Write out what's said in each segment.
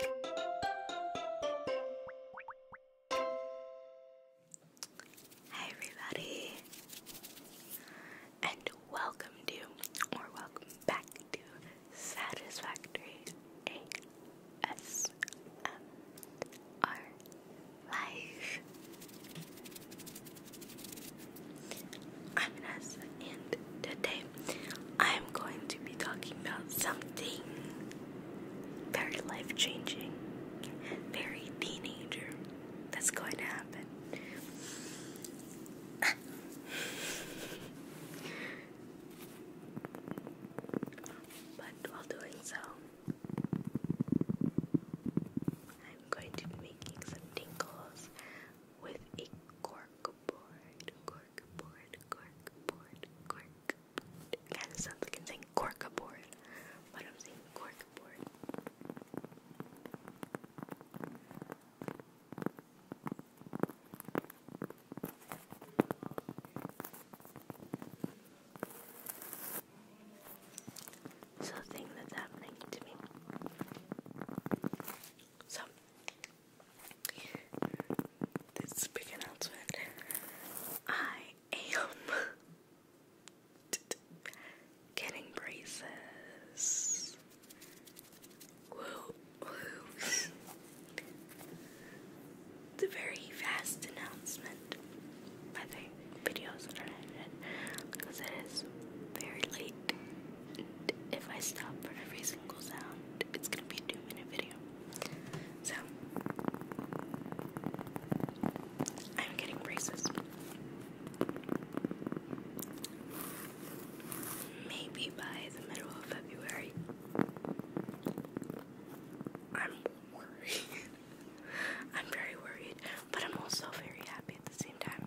Hi everybody and welcome to or welcome back to Satisfactory ASMR Life. I'm Ness and today I'm going to be talking about something very life changing, very teenager that's going to happen. but while doing so, I'm going to be making some tinkles with a corkboard cork board, cork board, cork board. kind of sounds like I'm saying cork board, but I'm saying cork board. So, thing that's happening to me. So, this big announcement. I am getting braces. Woo, woo. very fast announcement by videos are edited because it is very late if I stop for every single sound, it's gonna be a two minute video. So, I'm getting braces. Maybe by the middle of February. I'm worried. I'm very worried, but I'm also very happy at the same time.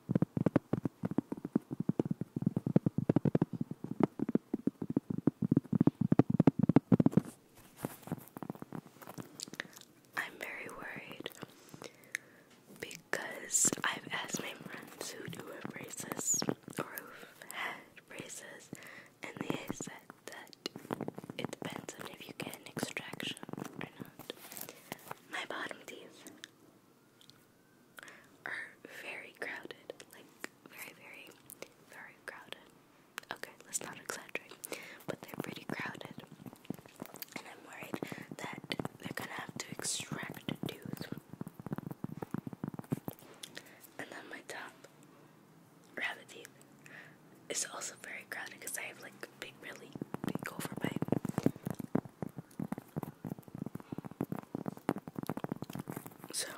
I'm very worried because I've asked my friends who do braces or have braces, and they said that it depends on if you get an extraction or not. My bottom teeth are very crowded. Like, very, very, very crowded. Okay, let's not exaggerate. But they're pretty crowded. And I'm worried that they're gonna have to extract a tooth. And then my top rabbit is also very crowded because I have like big, really big overbite. So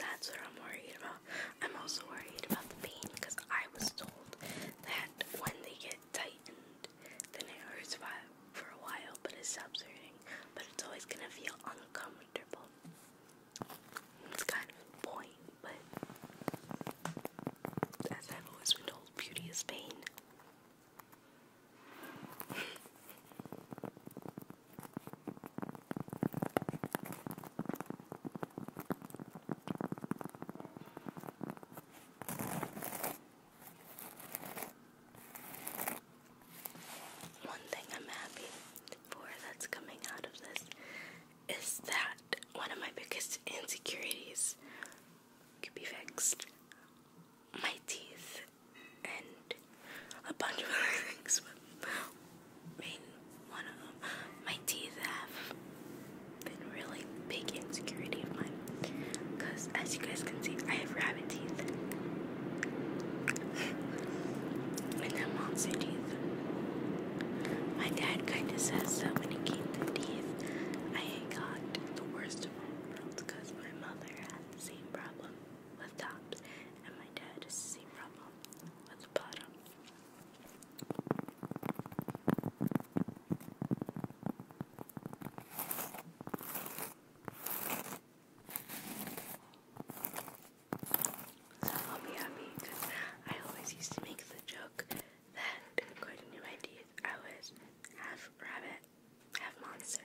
that's what I'm worried about. I'm also worried about the pain because I was told that when they get tightened, then it hurts for a while, but it's subsiding. But it's always gonna feel uncomfortable. It's kind of a point but as I've always been told, beauty is pain. One thing I'm happy for that's coming out of this is that one of my biggest insecurities could be fixed. My teeth and a bunch of other things, but one of them. My teeth have been really big insecurity of mine because, as you guys can see, I have rabbit teeth and then monster teeth. My dad kinda says that when it came to teeth, I got the worst of all worlds because my mother had the same problem with tops and my dad has the same problem with the bottom. I'll be happy because I always used to make the joke that according to my teeth, I was half rabbit, half monster.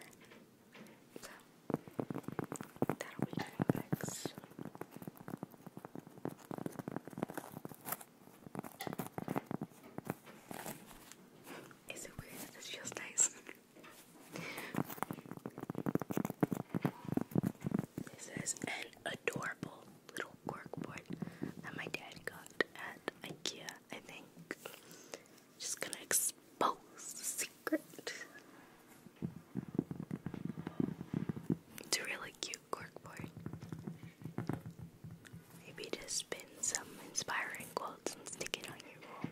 So that'll be coming Is it weird that this feels nice? This is an adorable little corkboard that my dad got at IKEA, I think. Just gonna expose the secret. It's a really cute corkboard. Maybe just pin some inspiring quotes and stick it on your wall.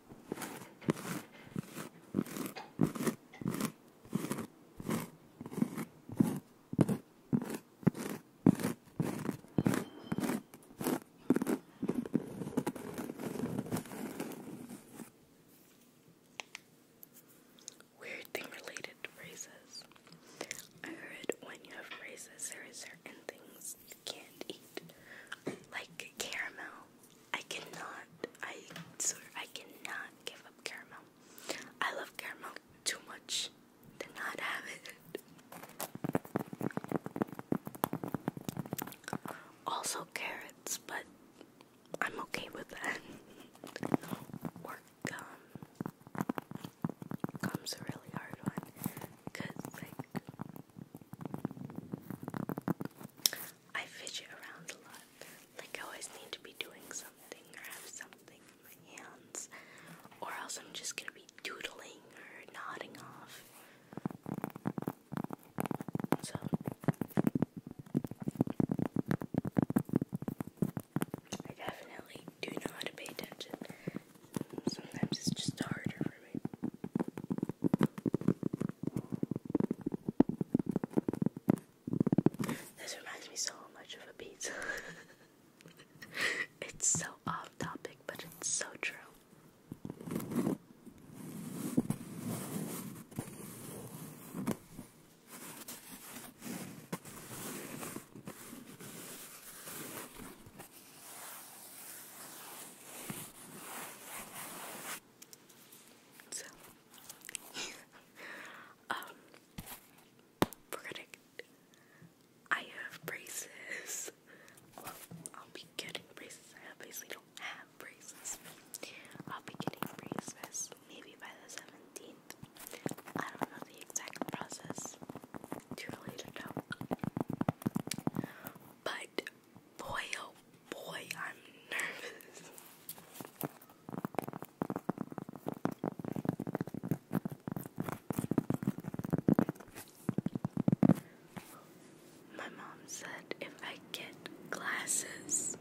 Weird thing related to I heard when you have braces, there are certain things can't eat like caramel. I cannot. I swear I cannot give up caramel. I love caramel too much to not have it. Also carrots, but I'm okay with that. or gum. Gum's a really hard one because like I fidget around a lot. Like I always need to be doing something or have something in my hands, or else I'm just gonna be doodling or nodding off. So I definitely do know pay attention. Sometimes it's just harder for me. This reminds me so much of a pizza. it's so off topic, but it's so true. So, um, we I have braces. I'll be getting braces. I obviously don't have braces. I'll be getting braces maybe by the 17th. I don't know the exact process too early to tell. But boy, oh boy, I'm nervous. My mom said if I get glasses.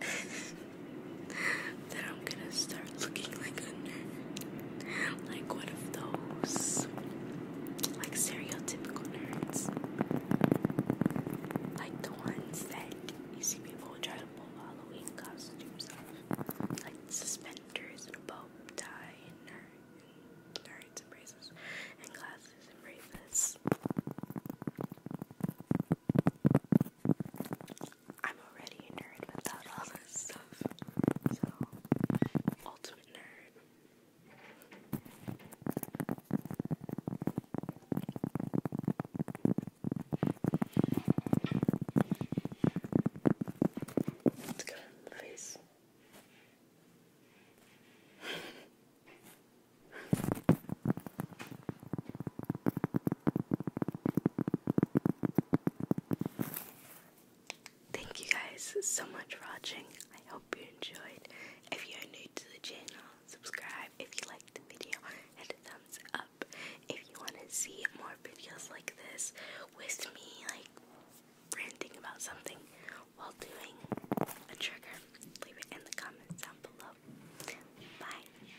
that I'm gonna start looking like a nerd. Like one of those like stereotypical nerds. Like the ones that you see people try to pull Halloween costumes Like suspenders and a bow tie and nerd nerds braces and glasses and bracelets. I'm already a nerd without all this stuff. So, ultimate nerd. Let's go in the face. Thank you guys so much for watching. I hope you enjoyed. If you are new to the channel, subscribe if you liked the video and a thumbs up. If you want to see more videos like this with me like ranting about something while doing a trigger, leave it in the comments down below. Bye.